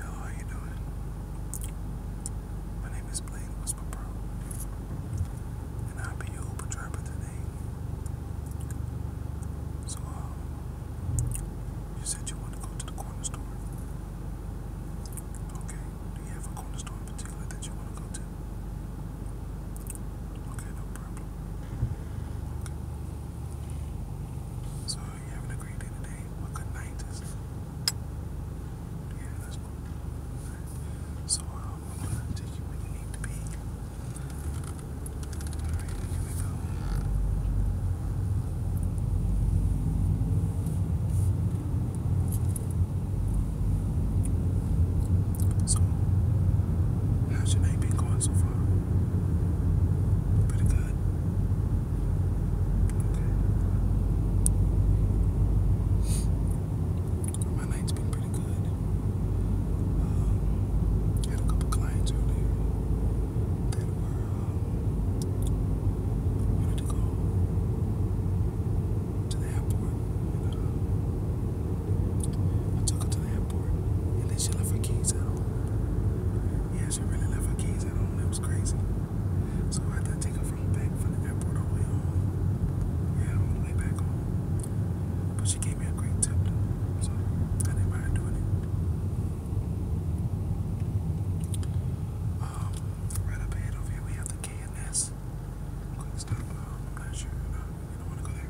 Hello, how you doing? My name is Blade Whisper and I'll be your Uber driver today. So, um, you said you want to go to the corner store. Okay, do you have a corner store in particular that you want to go to? Okay, no problem. So you having a great day today? Well, good So um, I'm gonna take you where you need to be. All right, here we go. So, how's your night been going so far? Pretty good. Okay. My night been pretty good. Um, had a couple clients earlier that were um, wanted to go to the airport. Uh, I took her to airport, and then she left her keys at home. Yeah, she really left her keys at home. That was crazy. So I had to take her from back from the airport all the way home. Yeah, all the way back home. But she gave me a great tip, so I didn't mind doing it. Um, right up here, we have the k Quick stop. Um, I'm not sure. Uh, I don't want to go there.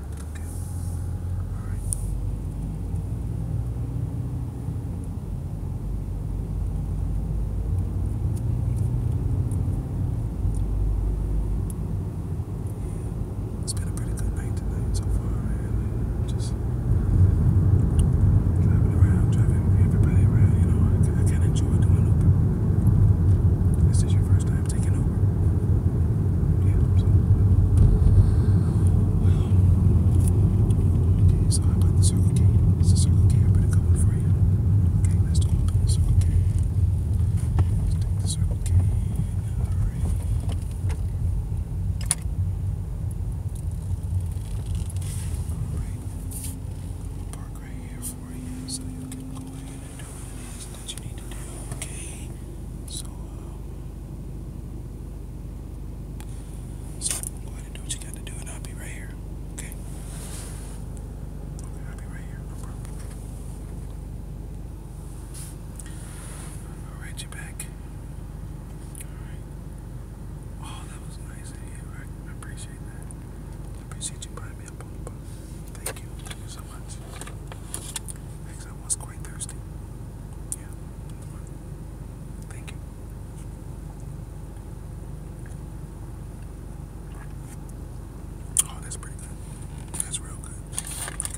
It's been a pretty good night so far, just driving around, driving everybody around. You know, I, kind of enjoy doing Uber. This is your first time have taken over. Yeah, so. Um, okay, so how about the Circle K? It's the Circle K. I better come in for you. Okay, let's go up to the Circle K. Let's take the Circle K. Alright. Alright. Park right here for you so you can go ahead and do what it is that you need to do, okay? So, uh, so go ahead and do what you got to do, and I'll be right here, okay? I'll be right here, no problem. I'll write you back. Alright. Oh, that was nice of you. I appreciate that. I appreciate you buying me up on Thank you so I was quite thirsty. Yeah, thank you. Oh, that's pretty good. That's real good.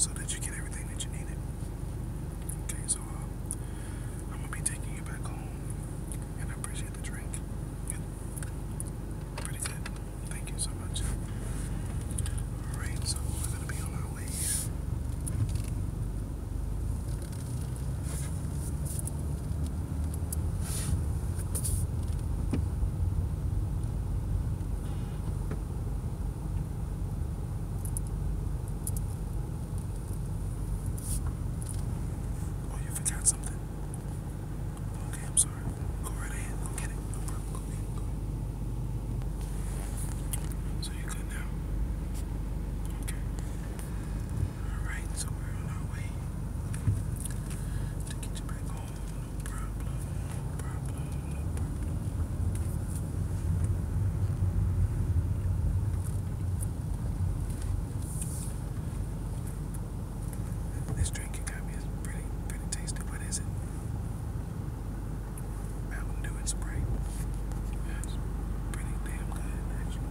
so much. you get everything that you needed? Okay, so I'm gonna be taking you back home, and I appreciate the drink. Pretty good. Thank you so much. Alright, so we're gonna be on our way Oh, you forgot something. Okay, I'm sorry. Go right ahead. Go get it. No problem. Go get So you good now? Okay. Alright, so we're on our way to get you back home. No problem. No problem. This drink you got me is pretty, pretty tasty. What is it? Mountain Dew and Sprite. That's pretty damn good, actually.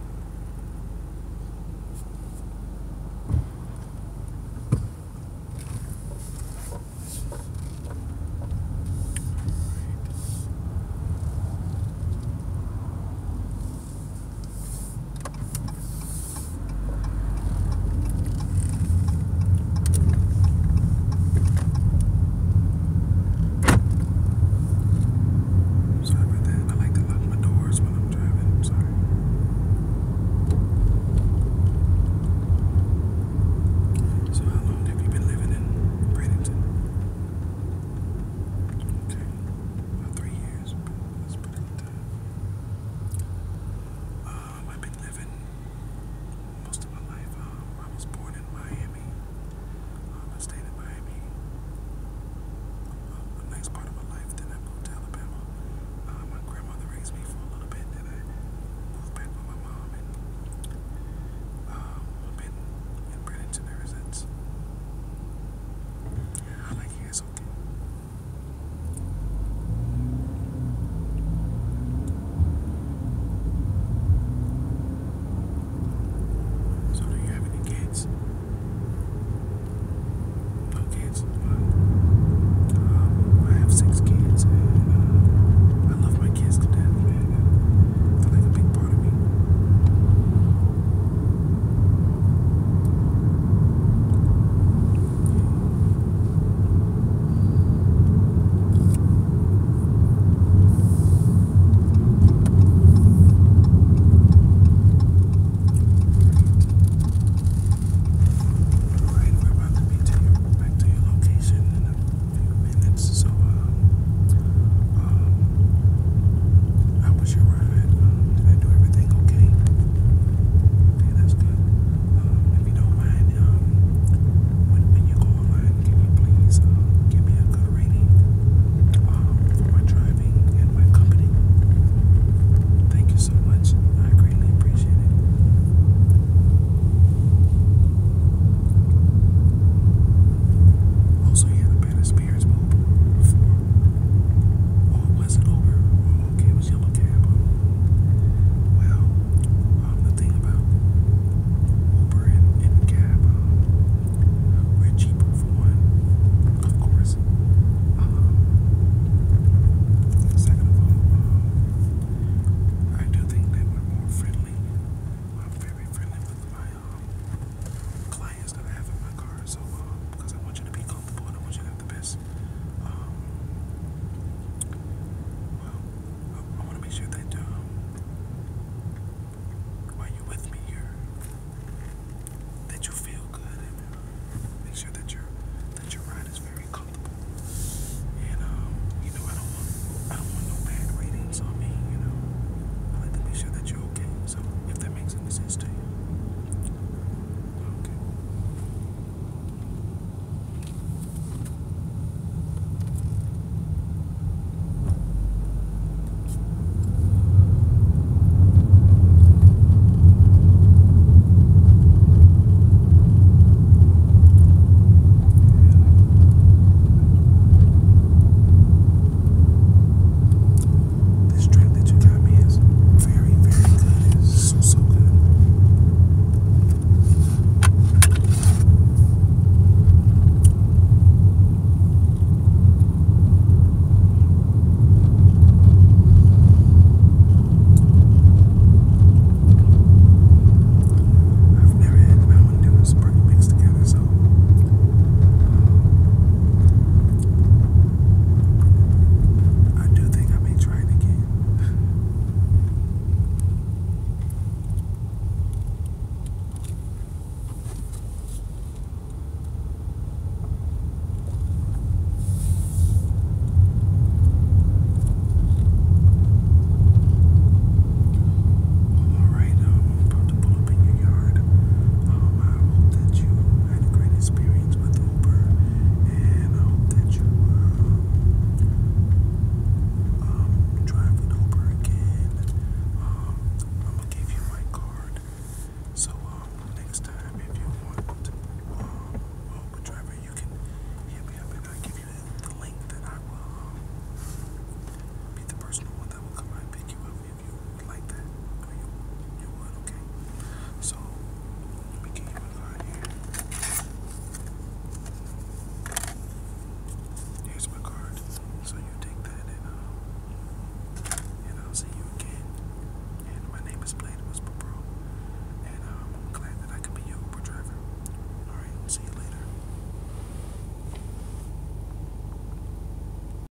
Sorry about that. I like to lock my doors while I'm driving. I'm sorry. So how long have you been living in Bradenton? Okay. About three years. That's pretty good time. Um, I've been living most of my life. Um, I was born in Miami. Um, I stayed in Miami the next part of my life. Then I moved to Alabama. Uh, my grandmother raised me for a little bit. Then I moved back with my mom, I've been in Bradenton ever since. Yeah, I like you. It's okay. So, do you have any kids? No kids? Wow. Um, I have six kids, and uh, I love my kids to death, man. They're like a big part of me. Alright, we're about to be back to your location in a few minutes, so uh, um, um, I you did I do everything okay? Okay, that's good. Um, if you don't mind, um, when, you go online, can you please uh, give me a good rating um, for my driving and my company? Thank you so much. I greatly appreciate it. Also, you yeah, had a bad experience Oh, it wasn't over. Oh, okay, was yellow cab. Well, um, the thing about Uber and, and cab, um, we're cheaper for one, of course. Um, second of all, I do think that we're more friendly. I'm very friendly with my I have in my car. So, because um, I want you to be comfortable and I want you to have the best. Um, well, I, want to make sure that um, you with me, you that you feel good and uh, make sure that your that your ride is very comfortable. And um, you know, I don't want I don't want no bad ratings on me. You know, I like to make sure that you're okay. So, if that makes any sense to you. Okay. This drink that you got me is very, very good. It's so, so good. I've never had no one Sprite mixed together, so um, I do think I may try it again. All right, um, I'm about to pull up in your yard. Um, I hope that you I had a great experience with Uber, and I hope that you um, drive an Uber again. Um, I'm gonna give you my card. So um, next time, if you want Uber driver, you can hit me up, and I'll give you the link that I will be the personal one will come and pick you up you like that, or you, you okay? So, let me give you a card here. Here's my card. So you take that and uh, and I'll see you again. And my name is Blade Whisper Pro. And um, glad that I could be your Uber driver. Alright, see you later.